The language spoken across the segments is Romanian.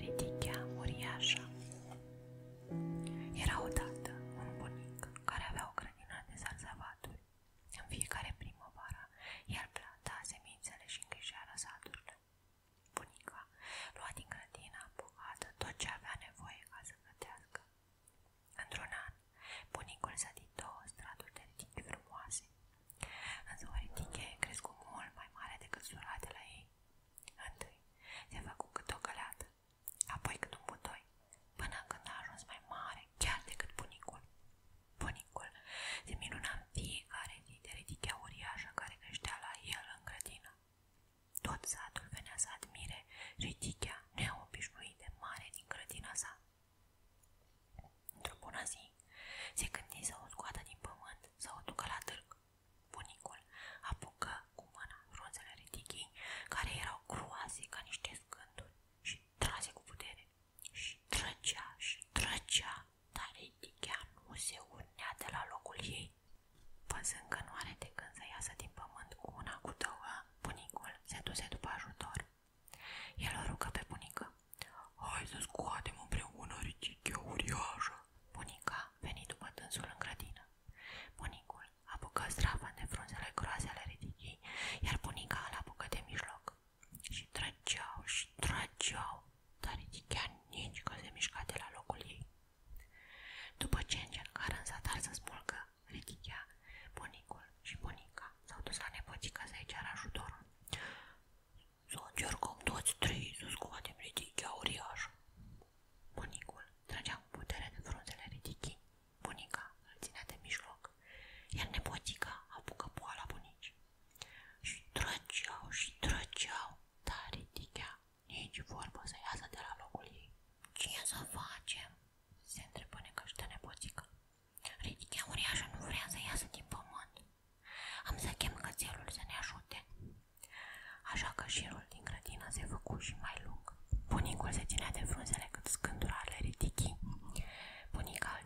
Ridichea uriașă Era odată un bunic care avea o grădină de zarzavaturi. În fiecare primăvară el planta semințele și îngrijea răsaturile. Bunica lua din grădina bogată tot ce avea nevoie ca să gătească. Într-un an, bunicul zădi două straturi de ridichi frumoase, însă o ridiche crescu mult mai mare decât suratele ei. Întâi se făcu cât o găleată, apoi cât un butoi, până când a ajuns mai mare chiar decât bunicul. Bunicul se minuna în fiecare zi de ridichea uriașă care creștea la el în grădină. Tot satul venea să admire ridichea neobișnuit de mare din grădina sa. Într-o bună zi, se gândi să o scoată din pământ, să o ducă la târg. Bunicul apucă cu mâna frunzele ridichii, care erau groase ca niște scânduri, și trase cu putere. Și trăgea, și trăgea, dar Etichea nu se urnea de la locul ei. Păzând că nu are de când să iasă din pământ cu una cu două, bunicul se duse după ajutor. El o rugă pe bunică. Hai să scoatem împreună Etichea uriașă. Bunica veni după tânsul în grădină. Bunicul apucă strafă de frunzele groase ale ridichii, iar bunica îl de mijloc și trăgeau și trăgeau, dar chiar nici că se mișca de la locul ei. După ce încercară în zadar să smulgă, Ridichea, bunicul și bunica s-au dus la nepoțică să-i ceară ajutorul. Să o încercăm toți trei să scoatem ridichea uriașă. Bunicul trăgea cu putere de frunzele ridichii Bunica îl ținea de mijloc, iar nepotica apucă poala bunici. Și trăgeau, și trăgeau, dar ridichea nici vorbă să iasă de la locul ei. Ce să facem? se întrebă necășită nepoțică. Ridichea uriașă nu vrea să iasă din pământ. Am să chem cățelul să ne Așa că șirul din grădină se făcu și mai lung Bunicul ținea de frunzele cât scândura ale ridichii.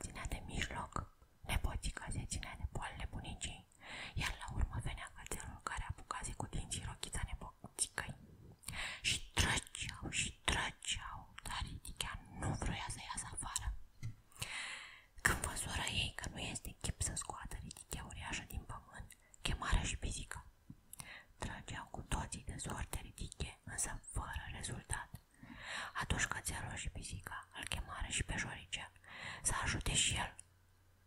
ținea de mijloc. Nepoțica se ținea de poalele bunicii. Iar la urmă venea cățelul care apucase cu dinții rochița nepoțicăi. Și trăgeau și trăgeau, dar ridichea nu vroia să iasă afară. Când văzură ei că nu este chip să scoată ridichea uriașă din pământ, chemară și pisică. Trageau cu toții de soarte ridiche, însă fără rezultat. Atunci cățelul și pisica îl chemară și pe Jorice să ajute și el.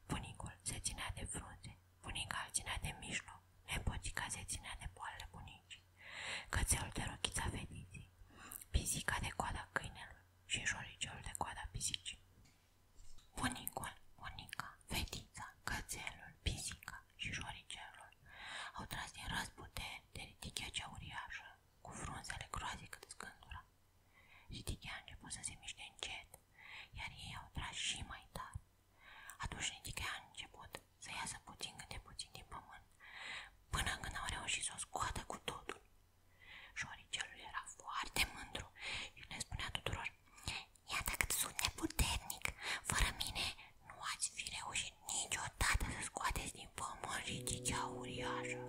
Bunicul se ținea de frunze, bunica se ținea de mijloc, nepotica se ținea de poalele bunicii, cățelul de rochița fetiții, pisica de coada câinelui și joriceul de coada pisicii. Bunicul, bunica, fetița, cățelul, pisica și joricelul au tras din răzbute de ritichea cea uriașă, cu frunzele groazii cât scândura. Ritichea a început să se miște încet, iar ei au tras și mai tare. Atunci ritichea a început să iasă puțin câte puțin din pământ, până când au reușit să o scoată cu totul Șoricelul era foarte mândru și le spunea tuturor Iată cât sunt de puternic, fără mine nu ați fi reușit niciodată să scoateți din pământ ridicea uriașă